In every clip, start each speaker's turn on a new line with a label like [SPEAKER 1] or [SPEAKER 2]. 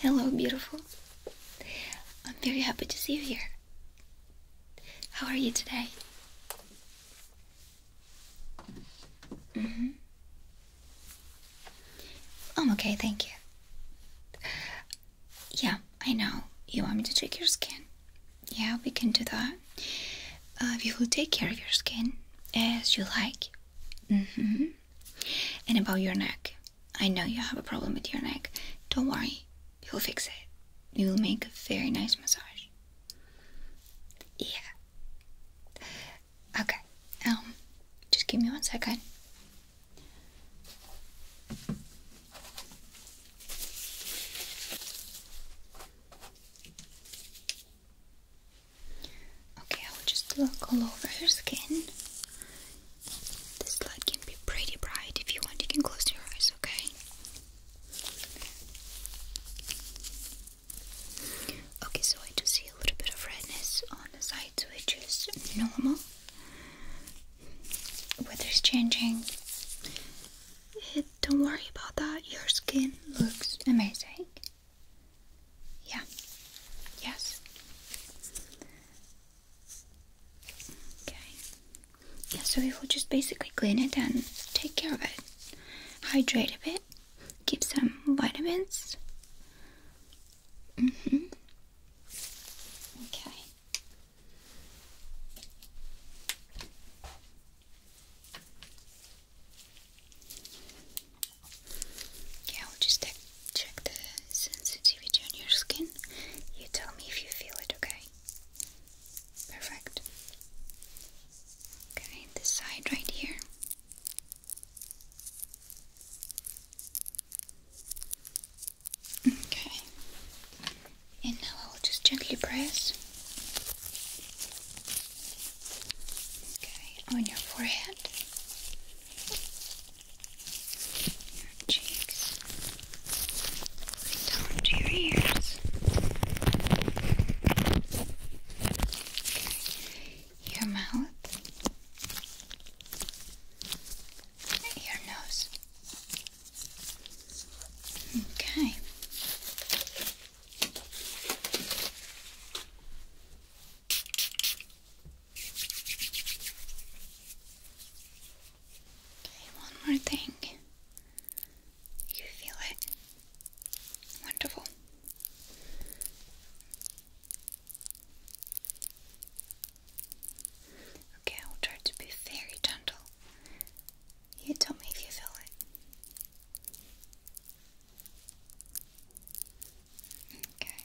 [SPEAKER 1] Hello, beautiful. I'm very happy to see you here. How are you today? Mm-hmm. I'm okay, thank you. Yeah, I know. You want me to check your skin? Yeah, we can do that. Uh, we will take care of your skin as you like. Mm-hmm. And about your neck. I know you have a problem with your neck. Don't worry, we will fix it. We will make a very nice massage. Yeah. Okay. Um, just give me one second. Okay, I'll just look all over her skin. This light can be pretty bright. If you want, you can close your eyes, okay? Okay, so I do see a little bit of redness on the sides, which is normal. Weather's changing. Eh, don't worry about that. Your skin looks amazing. Yeah. Yes. Okay so we will just basically clean it and take care of it. Hydrate a bit, give some vitamins. Mm-hmm. Okay. Yeah, I'll just check the sensitivity on your skin. You tell me if you feel it, okay? Perfect. Okay, this side right here. Okay. And now I will just gently press. Okay, on your forehead. Your cheeks down to your ears. Your mouth, your nose. Okay. Okay, one more thing. You feel it? Wonderful. Okay, I will try to be very gentle. You tell me if you feel it. Okay.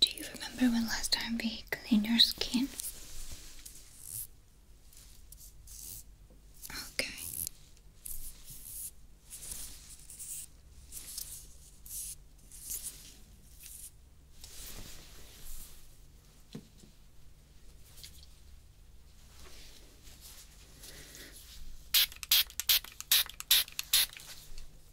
[SPEAKER 1] Do you remember when last time we cleaned your skin? Okay.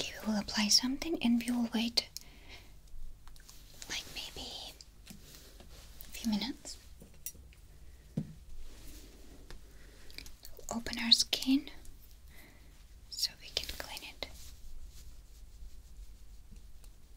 [SPEAKER 1] Okay, we will apply something and we will wait like maybe a few minutes. open our skin so we can clean it.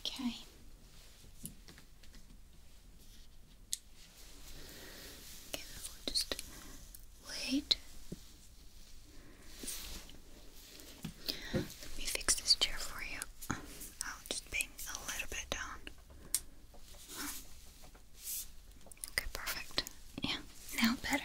[SPEAKER 1] Okay. Okay, we'll just wait. Let me fix this chair for you. I'll just bend a little bit down. Okay, perfect. Yeah, now better.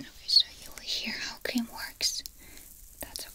[SPEAKER 1] Okay, so you will hear how cream works. That's okay.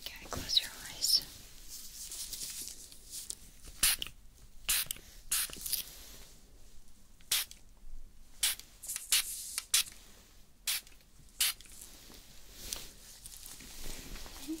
[SPEAKER 1] Okay, close your eyes. Okay.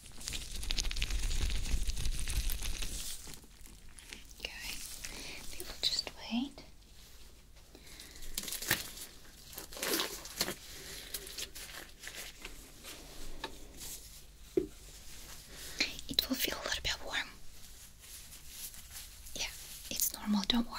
[SPEAKER 1] Okay, we just wait. It will feel a little bit warm. Yeah, it's normal, don't worry.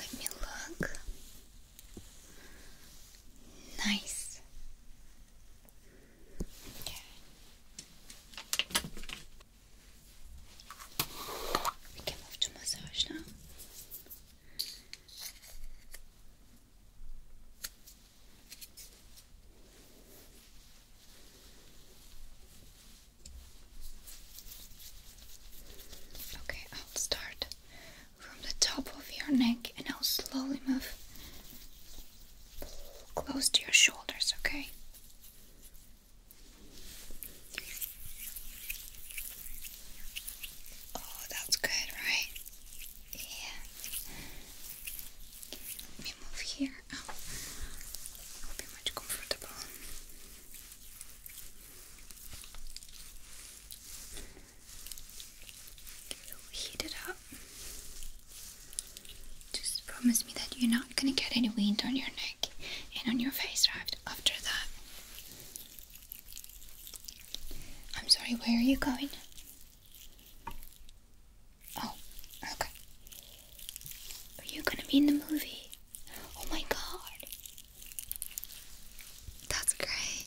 [SPEAKER 1] Let me look. Nice. Okay. We can move to massage now. Okay, I'll start from the top of your neck and I'll slowly move close to your shoulders, okay? Oh, that's good, right? Yeah. Let me move here. I'll oh, be much comfortable. You'll heat it up. Just promise me that you're not gonna get any wind on your neck and on your face after that. I'm sorry, where are you going? Oh, okay. Are you gonna be in the movie? Oh my god. That's great.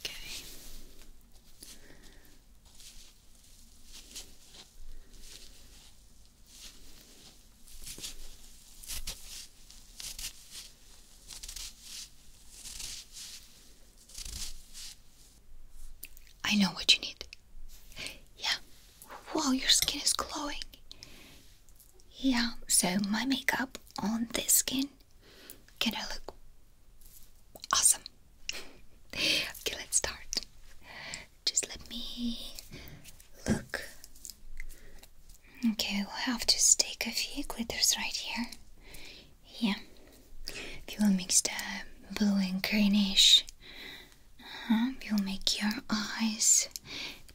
[SPEAKER 1] Okay. I know what you need. Yeah, Wow, your skin is glowing. Yeah, so my makeup on this skin gonna look awesome. okay, let's start. Just let me look. Okay, we'll have to stick a few glitters right here. Yeah. If you want mixed the uh, blue and greenish we will make your eyes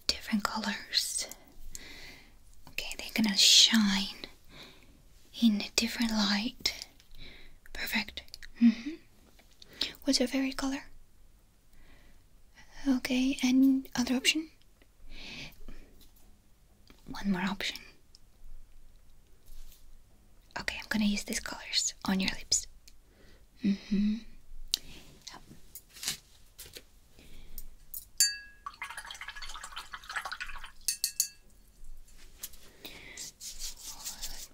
[SPEAKER 1] different colors. Okay, they're gonna shine in a different light. Perfect. Mm -hmm. What's your favorite color? Okay, and other option? One more option. Okay, I'm gonna use these colors on your lips. Mm hmm.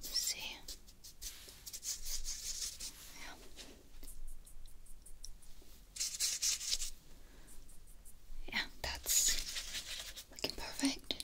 [SPEAKER 1] let's see. Yeah, that's looking perfect.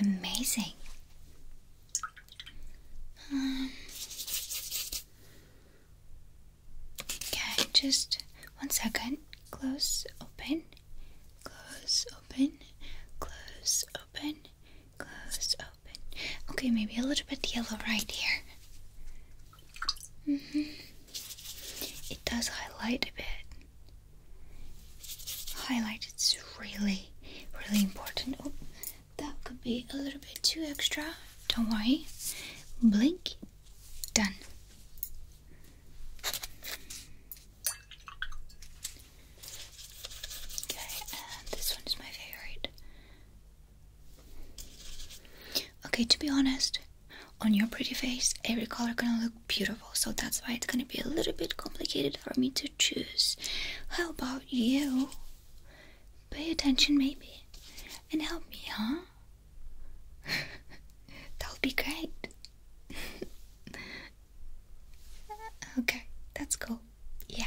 [SPEAKER 1] Amazing. Um, okay, just one second. Close, open, close, open, close, open, close, open. Okay, maybe a little bit yellow right here. -hmm. It does highlight a bit. Highlight its really, really important. Oh, that could be a little bit too extra. Don't worry. Blink. Done. Okay, and this one is my favorite. Okay, to be honest, on your pretty face every color gonna look beautiful so that's why it's gonna be a little bit complicated for me to choose how about you pay attention maybe and help me huh that'll be great okay that's cool yeah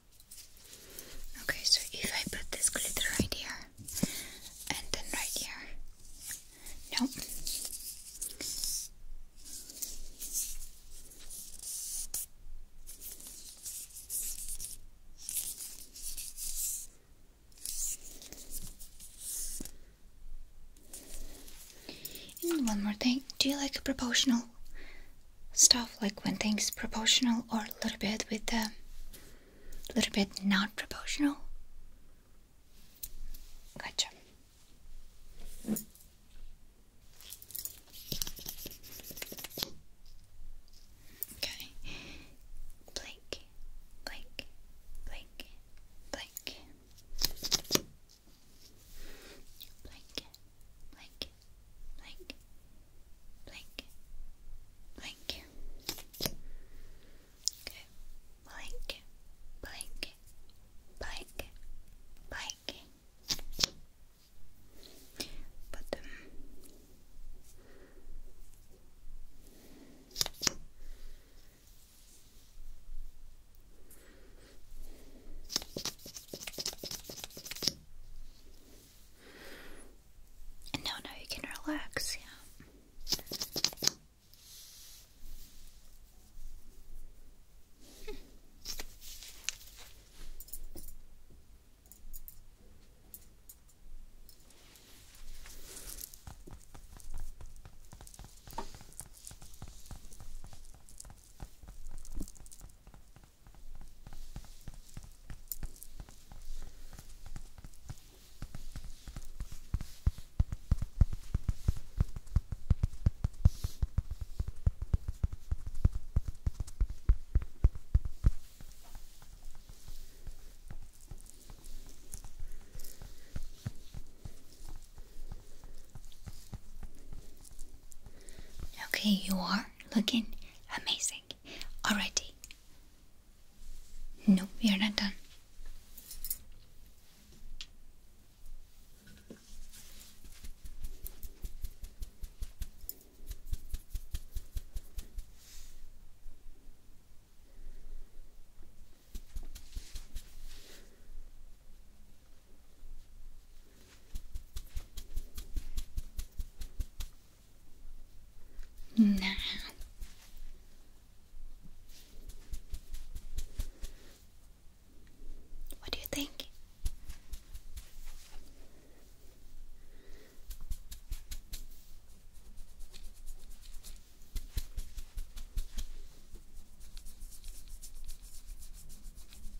[SPEAKER 1] Okay, so if I put this glitter right here and then right here. No. And one more thing, do you like a proportional stuff like when things proportional or a little bit with a little bit not proportional gotcha okay blink blink blink blink blink blink blink, blink, blink. Okay, blink, blink, blink, blink. But um, and now, now you can relax, yeah. Okay, you are looking amazing. Alrighty. No, we are not done. No. What do you think?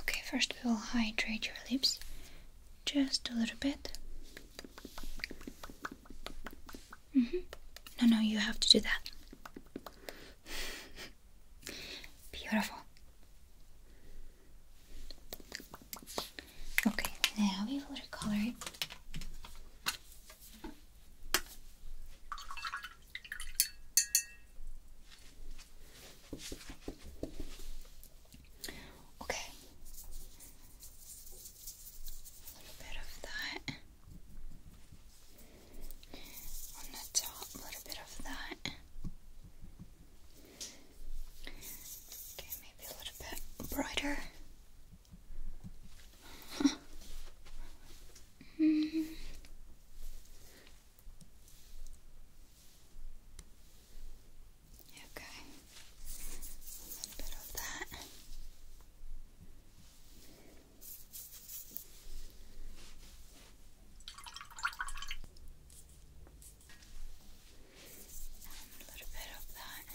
[SPEAKER 1] Okay, first we will hydrate your lips just a little bit. Mm-hmm. No, no, you have to do that. Beautiful. Okay, now we will recolor it. Okay. A little bit of that on the top, a little bit of that. Okay, maybe a little bit brighter. Hmm. Okay, a little bit of that. a little bit of that.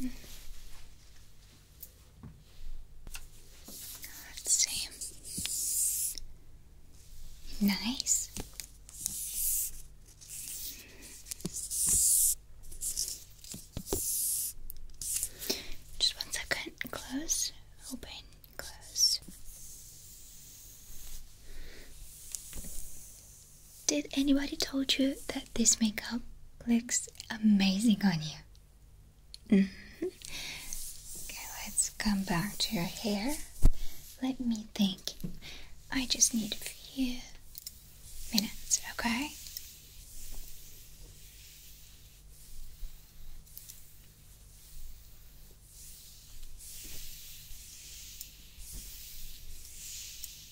[SPEAKER 1] let Nice. Just one second. Close, open, close. Did anybody told you that this makeup looks amazing on you? Mm-hmm. Okay, let's come back to your hair. Let me think. I just need a few minutes, okay?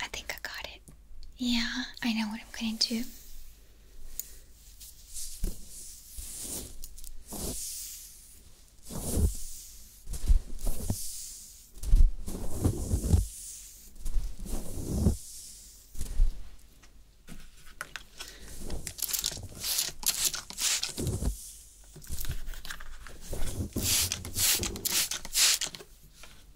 [SPEAKER 1] I think I got it. Yeah, I know what I'm going to do.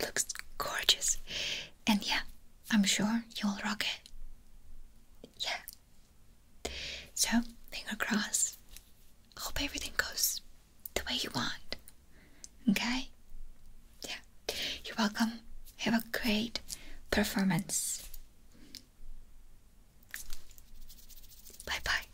[SPEAKER 1] looks gorgeous. And yeah, I'm sure you'll rock it. Yeah. So, finger cross. Hope everything goes the way you want. Okay? Yeah. You're welcome. Have a great performance. Bye bye.